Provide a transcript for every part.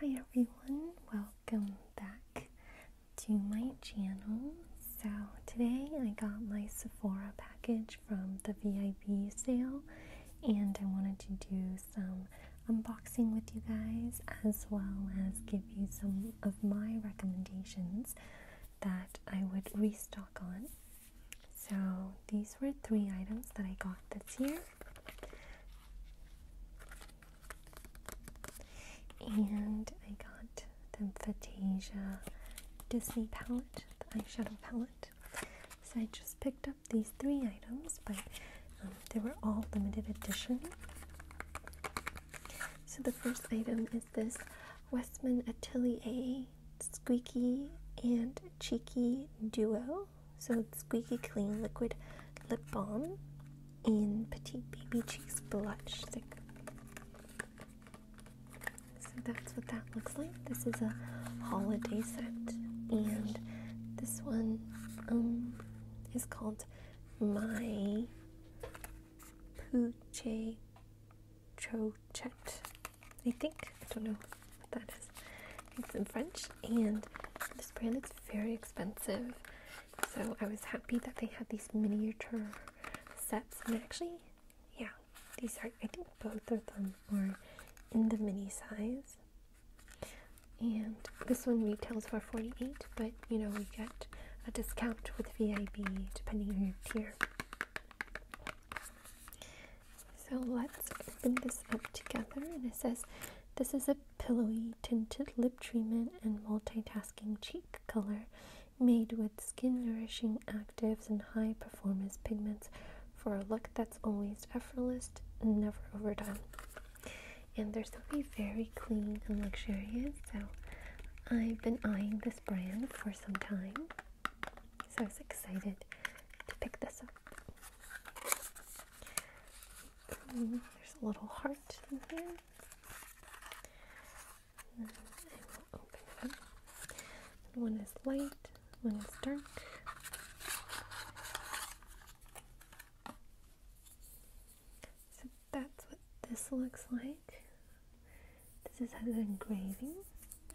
Hi everyone, welcome back to my channel. So today I got my Sephora package from the VIP sale and I wanted to do some unboxing with you guys as well as give you some of my recommendations that I would restock on. So these were three items that I got this year and I got the Fantasia Disney palette, the eyeshadow palette. So I just picked up these three items, but um, they were all limited edition. So the first item is this Westman Atelier Squeaky and Cheeky Duo. So Squeaky Clean Liquid Lip Balm in Petite Baby Cheeks Blush Stick. So that's what that looks like. This is a holiday set, and this one um, is called My Pooche Chochet. I think. I don't know that is. It's in French, and this brand is very expensive. So I was happy that they had these miniature sets, and actually, yeah, these are. I think both of them are in the mini size. And this one retails for 48 but you know, we get a discount with VIB depending on your tier. So let's open this up together. And it says, This is a pillowy tinted lip treatment and multitasking cheek color made with skin nourishing actives and high performance pigments for a look that's always effortless and never overdone. And they're something very clean and luxurious. So I've been eyeing this brand for some time. So I was excited to pick this up. Mm, there's a little heart in here. And I will open it One is light, one is dark. So that's what this looks like. This is has an engraving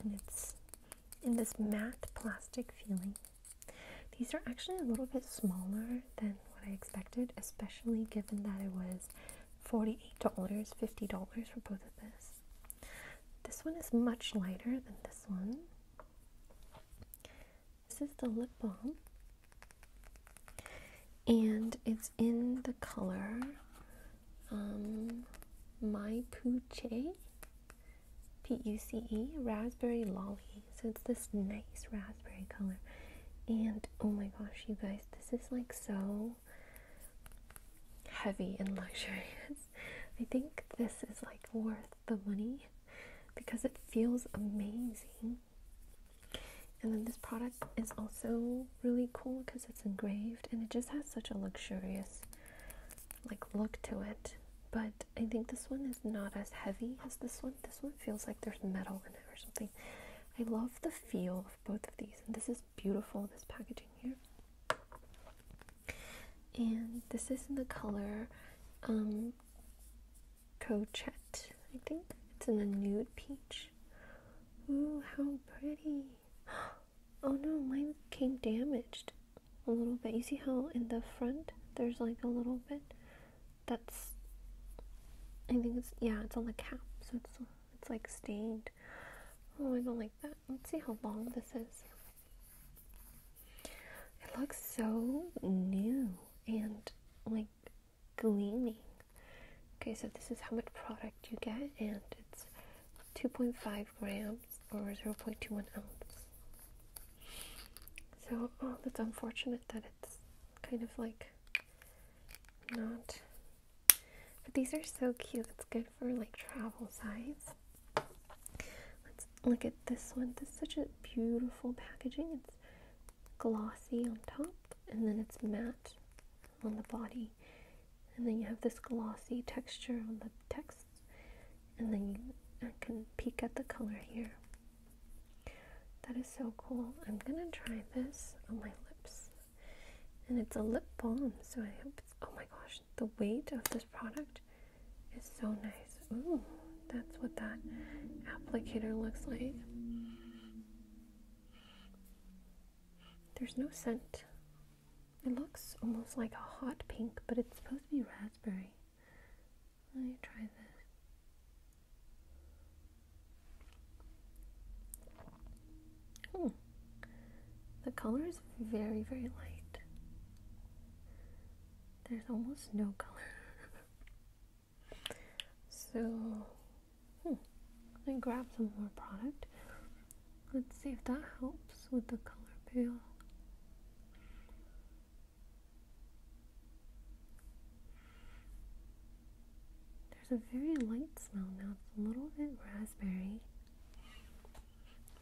and it's in this matte plastic feeling. These are actually a little bit smaller than what I expected, especially given that it was $48, $50 for both of this. This one is much lighter than this one. This is the lip balm. And it's in the color um, My Pooche. P-U-C-E, Raspberry Lolly. So it's this nice raspberry color. And oh my gosh, you guys, this is like so heavy and luxurious. I think this is like worth the money because it feels amazing. And then this product is also really cool because it's engraved and it just has such a luxurious like look to it. But I think this one is not as heavy as this one. This one feels like there's metal in it or something. I love the feel of both of these, and this is beautiful. This packaging here, and this is in the color um, Cochette. I think it's in a nude peach. Ooh, how pretty! Oh no, mine came damaged a little bit. You see how in the front there's like a little bit? That's, I think it's, yeah, it's on the cap, so it's, it's like stained. Oh, I don't like that. Let's see how long this is. It looks so new and like gleaming. Okay, so this is how much product you get, and it's 2.5 grams or 0.21 ounce. So, oh, that's unfortunate that it's kind of like not. But these are so cute. It's good for like travel size. Let's look at this one. This is such a beautiful packaging. It's glossy on top and then it's matte on the body. And then you have this glossy texture on the text and then I can peek at the color here. That is so cool. I'm gonna try this on my lips. And it's a lip balm, so I hope it's, oh my gosh, the weight of this product is so nice. Ooh, that's what that applicator looks like. There's no scent it looks almost like a hot pink, but it's supposed to be raspberry. Let me try this. Hmm. The color is very, very light. There's almost no color. so, hmm. me grab some more product. Let's see if that helps with the color pale. There's a very light smell now. It's a little bit raspberry,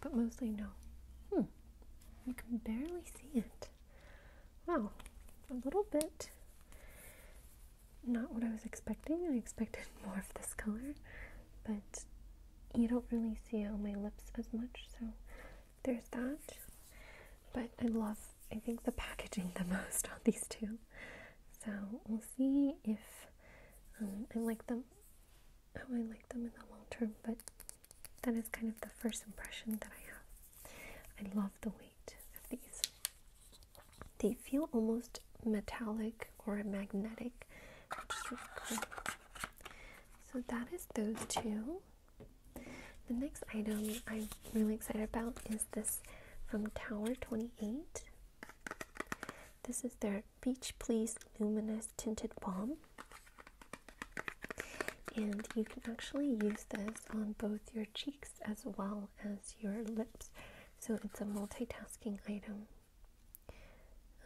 but mostly no. Hmm. You can barely see it. Wow. A little bit. Not what I was expecting. I expected more of this color but you don't really see it on my lips as much, so there's that. But I love, I think, the packaging the most on these two. So we'll see if um, I like them, how I like them in the long term, but that is kind of the first impression that I have. I love the weight of these. They feel almost metallic or magnetic, which is really cool. So that is those two. The next item I'm really excited about is this from Tower 28. This is their Beach Please Luminous Tinted Balm. And you can actually use this on both your cheeks as well as your lips. So it's a multitasking item.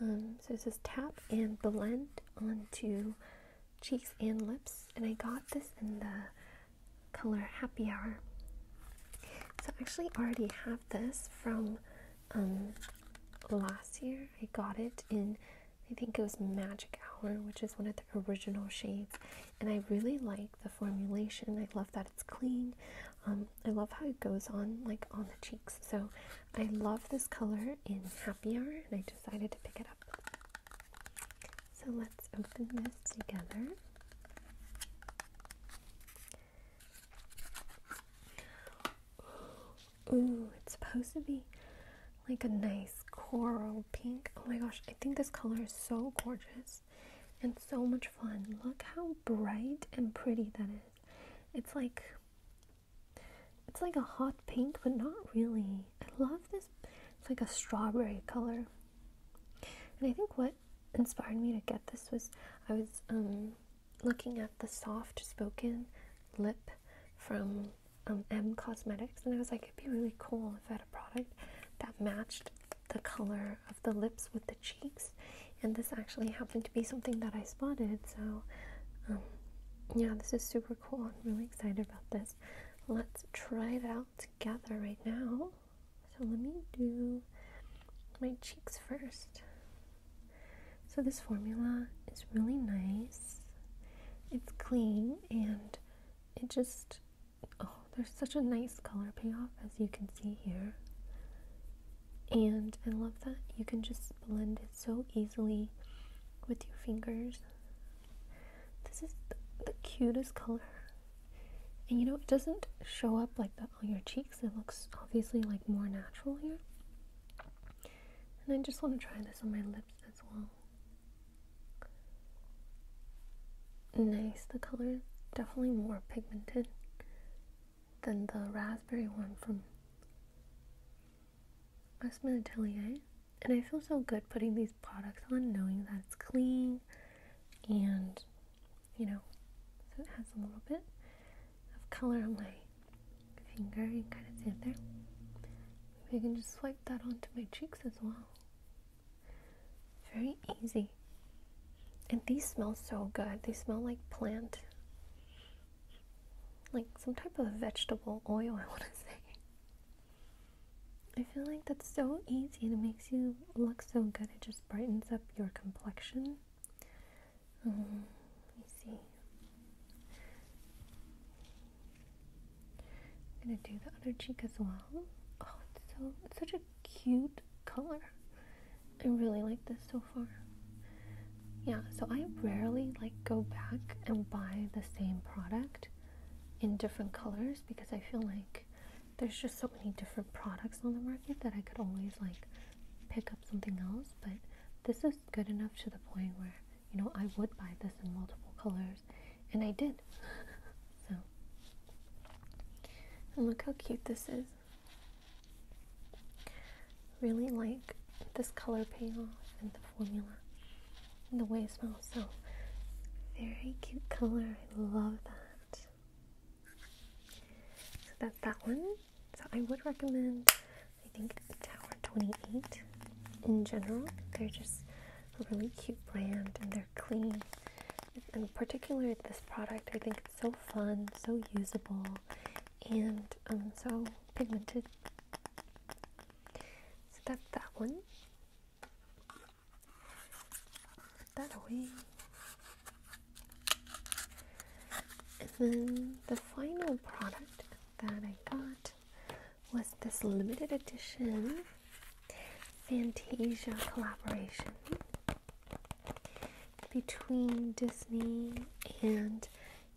Um, so it says tap and blend onto cheeks and lips, and I got this in the color Happy Hour. So I actually already have this from um, last year. I got it in, I think it was Magic Hour, which is one of the original shades, and I really like the formulation. I love that it's clean. Um, I love how it goes on like on the cheeks. So I love this color in Happy Hour and I decided to pick it up. So let's open this together. Ooh, it's supposed to be like a nice coral pink. Oh my gosh, I think this color is so gorgeous and so much fun. Look how bright and pretty that is. It's like it's like a hot pink, but not really. I love this. It's like a strawberry color. And I think what inspired me to get this was I was um, looking at the soft spoken lip from um, M Cosmetics, and I was like, it'd be really cool if I had a product that matched the color of the lips with the cheeks and this actually happened to be something that I spotted, so um, yeah, this is super cool. I'm really excited about this. Let's try it out together right now. So let me do my cheeks first. So this formula is really nice. It's clean and it just, oh, there's such a nice color payoff as you can see here. And I love that you can just blend it so easily with your fingers. This is the, cutest color. And you know, it doesn't show up like that on your cheeks. It looks obviously like more natural here. And I just want to try this on my lips as well. Nice, the color definitely more pigmented than the raspberry one from Esme And I feel so good putting these products on, knowing that it's clean and, you know, so it has a little bit of color on my finger. You can kind of see it there. Maybe I can just swipe that onto my cheeks as well. Very easy. And these smell so good. They smell like plant, like some type of vegetable oil, I want to say. I feel like that's so easy and it makes you look so good. It just brightens up your complexion. Um, let me see. I'm going to do the other cheek as well. Oh, it's, so, it's such a cute color. I really like this so far. Yeah, so I rarely like go back and buy the same product in different colors because I feel like there's just so many different products on the market that I could always like pick up something else, but this is good enough to the point where, you know, I would buy this in multiple colors and I did. so, and look how cute this is. Really like this color payoff and the formula and the way it smells. So, very cute color. I love that. So, that's that one. So, I would recommend, I think, Tower 28 in general. They're just a really cute brand and they're clean. In particular, this product, I think so fun, so usable, and um, so pigmented. So that's that one. Put that away. And then the final product that I got was this limited edition Fantasia collaboration between Disney and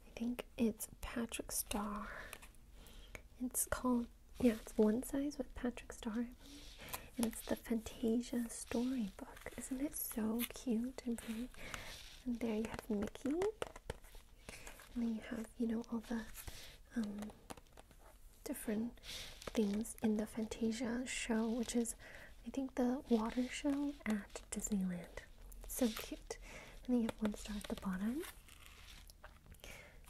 I think it's Patrick Star. It's called, yeah, it's One Size with Patrick Star, and it's the Fantasia storybook. Isn't it so cute and there you have Mickey. And then you have, you know, all the um, different things in the Fantasia show, which is I think the water show at Disneyland. so cute. And you have one star at the bottom.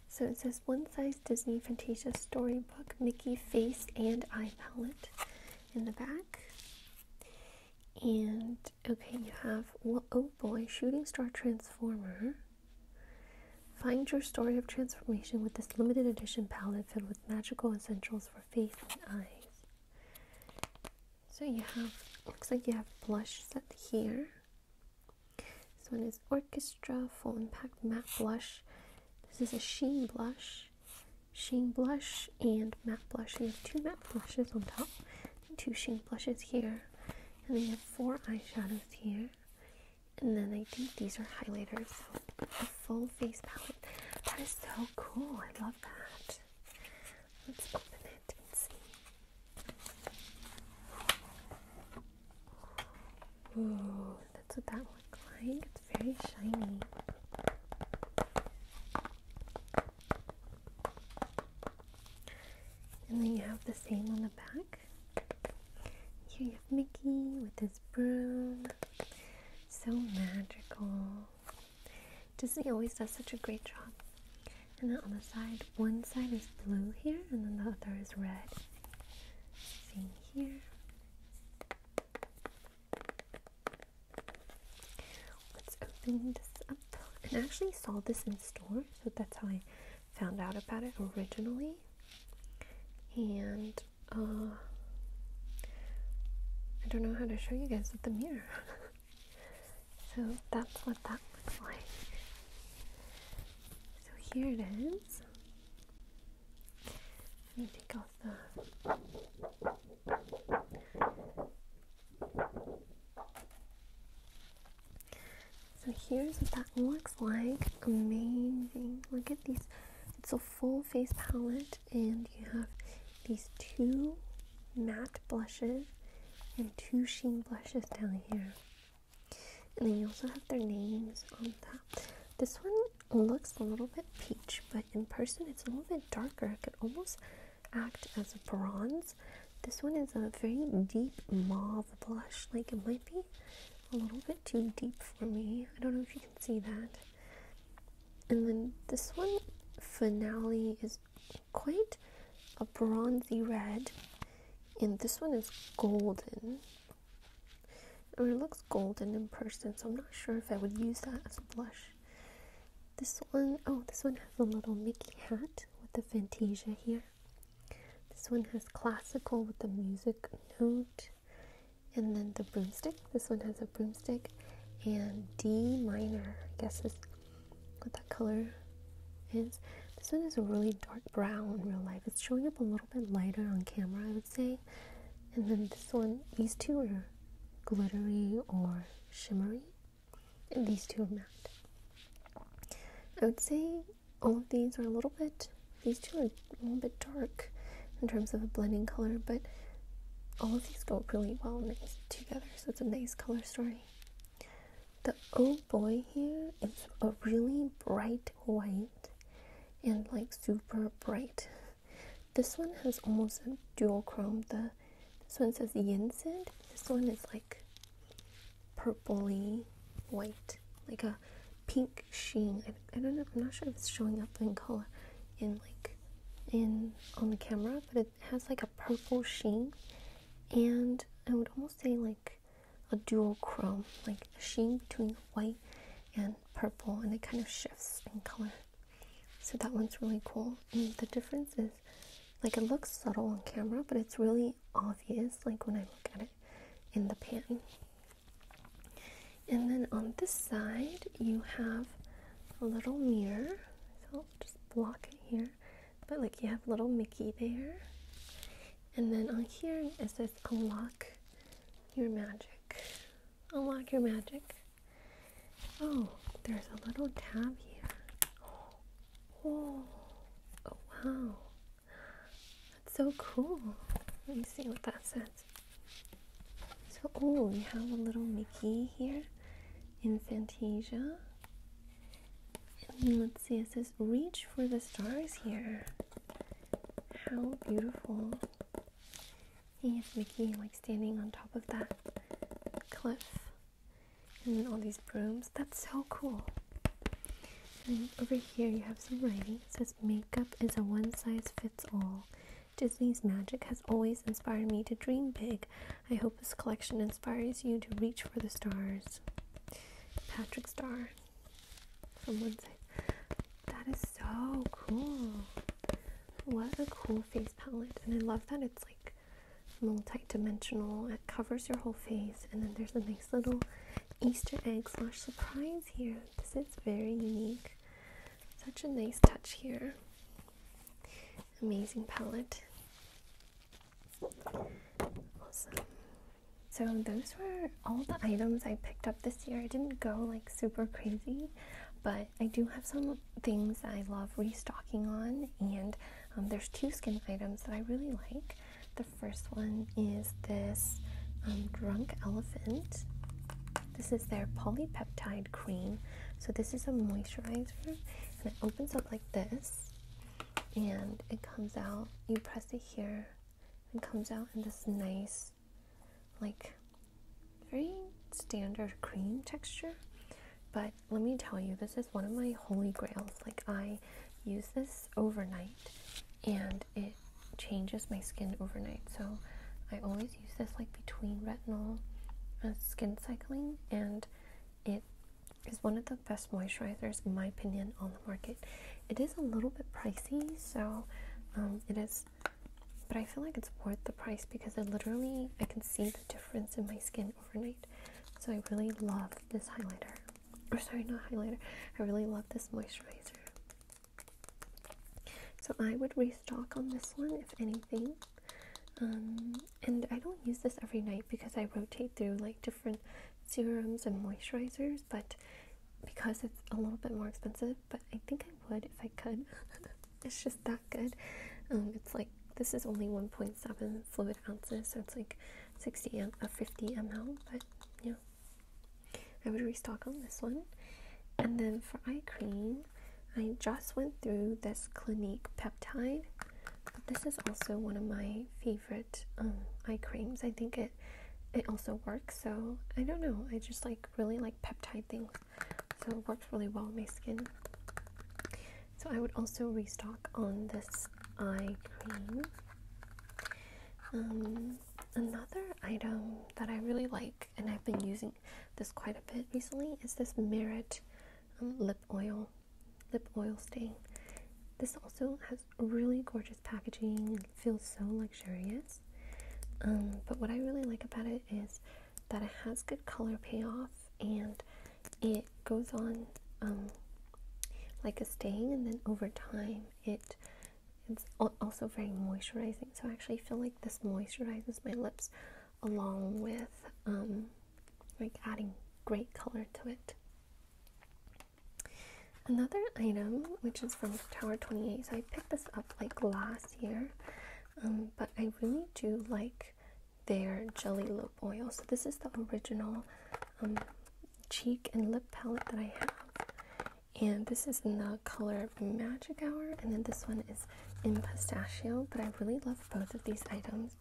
So it says one size Disney Fantasia storybook, Mickey face and eye palette in the back. And okay, you have oh boy, shooting star transformer. Find your story of transformation with this limited edition palette filled with magical essentials for face and eyes. So you have, looks like you have blush set here. This one is Orchestra Full Impact Matte Blush. This is a Sheen Blush. Sheen Blush and Matte Blush. you have two matte blushes on top, two Sheen blushes here. And then you have four eyeshadows here. And then I think these are highlighters full face palette. That is so cool. I love that. Let's open it and see. Ooh, that's what that looks like. It's very shiny. And then you have the same on the back. Here you have Mickey with his broom. So magical. Disney always does such a great job. And then on the side, one side is blue here, and then the other is red. Same here. Let's open this up. I actually saw this in store, so that's how I found out about it originally. And uh, I don't know how to show you guys with the mirror. so that's what that looks like. So here it is. Let me take off the. So here's what that looks like. Amazing. Look at these. It's full face palette, and you have these two matte blushes and two sheen blushes down here. And then you also have their names on that. This one looks a little bit peach, but in person it's a little bit darker. It could almost act as a bronze. This one is a very deep mauve blush. Like it might be a little bit too deep for me. I don't know if you can see that. And then this one, Finale, is quite a bronzy red. And this one is golden. Or it looks golden in person, so I'm not sure if I would use that as a blush. This one, oh, this one has a little Mickey hat with the Fantasia here. This one has classical with the music note. And then the broomstick. This one has a broomstick and D minor. I guess is what that color is. This one is a really dark brown in real life. It's showing up a little bit lighter on camera, I would say. And then this one, these two are glittery or shimmery. these two are matte. I would say all of these are a little bit these two are a little bit dark in terms of a blending color, but all of these go really well together, so it's a nice color story. The oh boy here is a really bright white and like super bright. This one has almost a dual chrome. The this one says yin Yinsid. This one is like purpley white, like a pink sheen. I, don't know. I'm not sure if it's showing up in color in like in on the camera, but it has like a purple sheen, and I would almost say like a dual chrome, like a sheen between white and purple, and it kind of shifts in color. So that one's really cool. And the difference is like it looks subtle on camera, but it's really obvious like when I look at it in the pan. And then on this side, you have a little mirror. So just block it here. But like you have little Mickey there. And then on here, it says unlock your magic. Unlock your magic. Oh, there's a little tab here. Oh, oh wow. That's so cool. Let me see what that says. So, oh, we have a little Mickey here in Fantasia. let's see, it says reach for the stars here. How beautiful. Yes, Mickey, like standing on top of that cliff. And then all these brooms. That's so cool over here you have some writing. It says makeup is a one-size-fits-all. Disney's magic has always inspired me to dream big. I hope this collection inspires you to reach for the stars. Patrick Star from one side. That is so cool. What a cool face palette. And I love that it's like multi-dimensional. It covers your whole face and then there's a nice little Easter egg slash surprise here. This is very unique. Such a nice touch here. Amazing palette. Awesome. So those were all the items I picked up this year. I didn't go like super crazy, but I do have some things I love restocking on, and um, there's two skin items that I really like. The first one is this um, Drunk Elephant. This is their polypeptide cream. So this is a moisturizer and it opens up like this and it comes out. You press it here and comes out in this nice like very standard cream texture. But let me tell you, this is one of my holy grails. Like I use this overnight and it changes my skin overnight. So I always use this like between retinol and uh, skin cycling, and it is one of the best moisturizers in my opinion on the market. It is a little bit pricey, so um, it is, but I feel like it's worth the price because I literally I can see the difference in my skin overnight. So I really love this highlighter or sorry, not highlighter. I really love this moisturizer. So I would restock on this one if anything. Um, and I don't use this every night because I rotate through like different serums and moisturizers, but because it's a little bit more expensive, but I think I would if I could. it's just that good. Um, it's like this is only 1.7 fluid ounces, so it's like 60 m- uh, 50 ml, but yeah, I would restock on this one. And then for eye cream, I just went through this Clinique Peptide. this is also one of my favorite um, eye creams. I think it it also works. So I don't know. I just like really like peptide things. So it works really well on my skin. So I would also restock on this eye cream. Um, another item that I really like, and I've been using this quite a bit recently, is this Merit um, lip oil, lip oil stain. This also has really gorgeous packaging and feels so luxurious. Um, but what I really like about it is that it has good color payoff and it goes on um, like a stain, and then over time it's also very moisturizing so i actually feel like this moisturizes my lips along with um, like adding great color to it another item which is from tower 28 so i picked this up like last year um, but i really do like their jelly lip oil so this is the original um, cheek and lip palette that I have. And this is in the color Magic Hour, and then this one is in Pistachio. But I really love both of these items.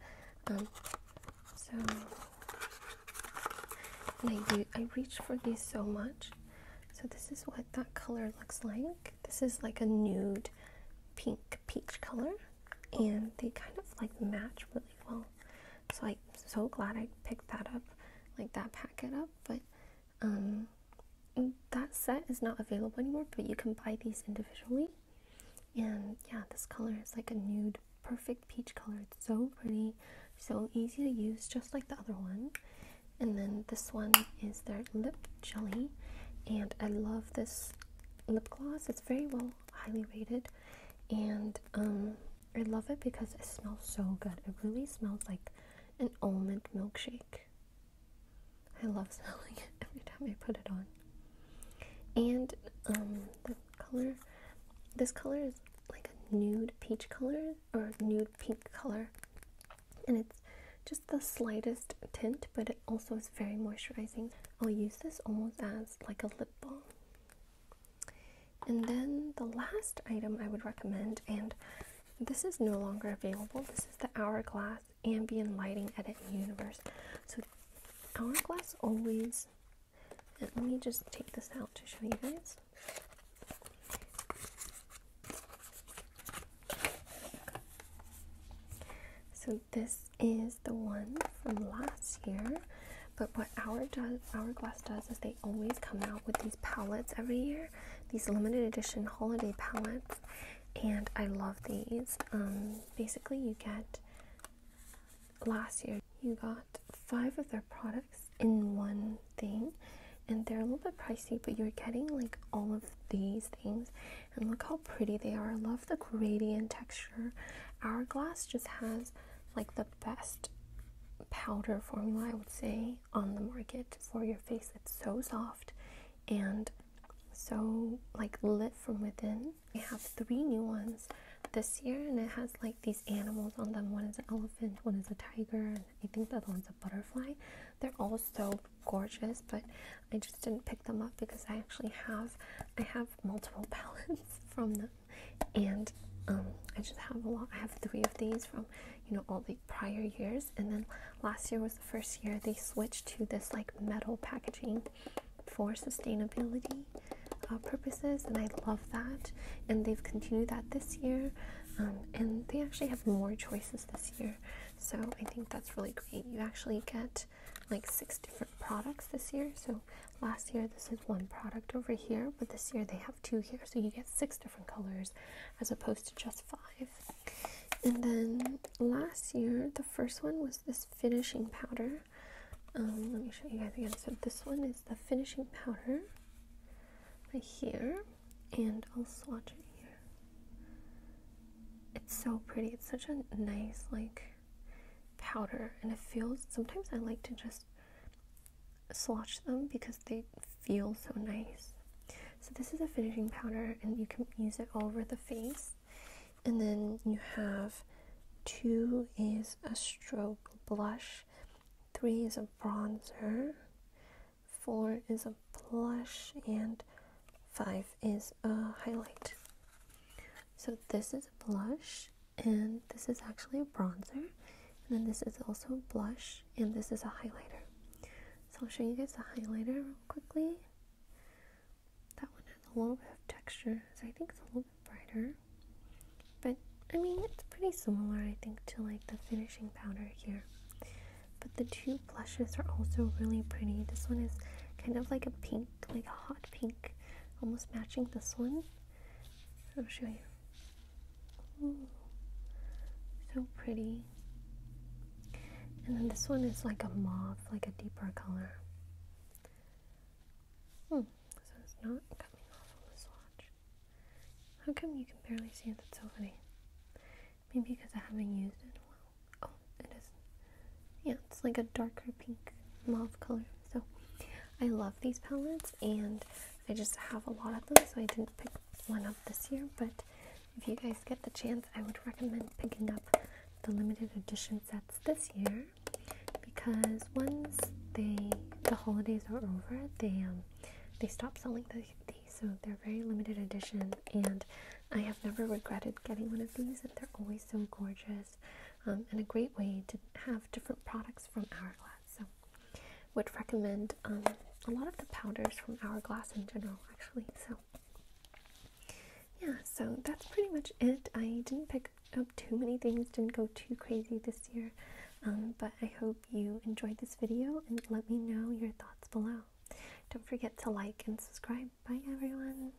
Um, so, and I, I reach for these so much. So, this is what that color looks like. This is like a nude pink peach color, and they kind of like match really well so I'm so glad I picked that up, like that packet up. But um, that set is not available anymore, but you can buy these individually. And yeah, this color is like a nude, perfect peach color. It's so pretty, so easy to use, just like the other one. And then this one is their lip jelly. And I love this lip gloss. It's very well highly rated. And um, I love it because it smells so good. It really smells like an almond milkshake. I love smelling it every time I put it on. And um, the color, this color is like a nude peach color or nude pink color. And it's just the slightest tint, but it also is very moisturizing. I'll use this almost as like a lip balm. And then the last item I would recommend, and this is no longer available, this is the Hourglass Ambient Lighting Edit Universe. So, Hourglass always, let me just take this out to show you guys. So, this is the one from last year. But what Hour does, Hourglass does is they always come out with these palettes every year, these limited edition holiday palettes, and I love these. Um, basically, you get last year you got five of their products in one thing, and they're a little bit pricey, but you're getting like all of these things, and look how pretty they are. I love the gradient texture. Hourglass just has like the best powder formula, I would say, on the market for your face. It's so soft and so like lit from within. I have three new ones this year, and it has like these animals on them. One is an elephant, one is a tiger, and I think the other one's a butterfly. They're all so gorgeous, but I just didn't pick them up because I actually have I have multiple palettes from them and um, I just have a lot. I have three of these from you know all the prior years, and then last year was the first year they switched to this like metal packaging for sustainability uh, purposes, and I love that. And they've continued that this year, um, and they actually have more choices this year, so I think that's really great. You actually get like six different products this year, so last year this is one product over here, but this year they have two here, so you get six different colors as opposed to just five. And then last year the first one was this finishing powder. Um, let me show you guys again. So this one is the finishing powder right here, and I'll swatch it here. It's so pretty. It's such a nice like powder and it feels sometimes I like to just swatch them because they feel so nice. So this is a finishing powder and you can use it all over the face. And then you have two is a stroke blush, three is a bronzer, four is a blush, and five is a highlight. So this is a blush and this is actually a bronzer and then this is also a blush and this is a highlighter so i'll show you guys the highlighter real quickly that one has a little bit of texture so i think it's a little bit brighter but i mean it's pretty similar i think to like the finishing powder here but the two blushes are also really pretty this one is kind of like a pink like a hot pink, almost matching this one. I'll show you. so pretty. And then this one is like a mauve, like a deeper color. Hmm, so is not coming off on the swatch. How come you can barely see it? That's so funny. Maybe because I haven't used it in a while. Oh, it is yeah, it's like a darker pink mauve color. So I love these palettes and I just have a lot of them, so I didn't pick one up this year. But if you guys get the chance, I would recommend picking up the limited edition sets this year because once they the holidays are over, they um, they stop selling the, these, so they're very limited edition. And I have never regretted getting one of these, and they're always so gorgeous um, and a great way to have different products from Hourglass. So, would recommend um, a lot of the powders from Hourglass in general, actually. So, yeah, so that's pretty much it. I didn't pick up too many things, didn't go too crazy this year, um, but I hope you enjoyed this video and let me know your thoughts below. Don't forget to like and subscribe. Bye, everyone.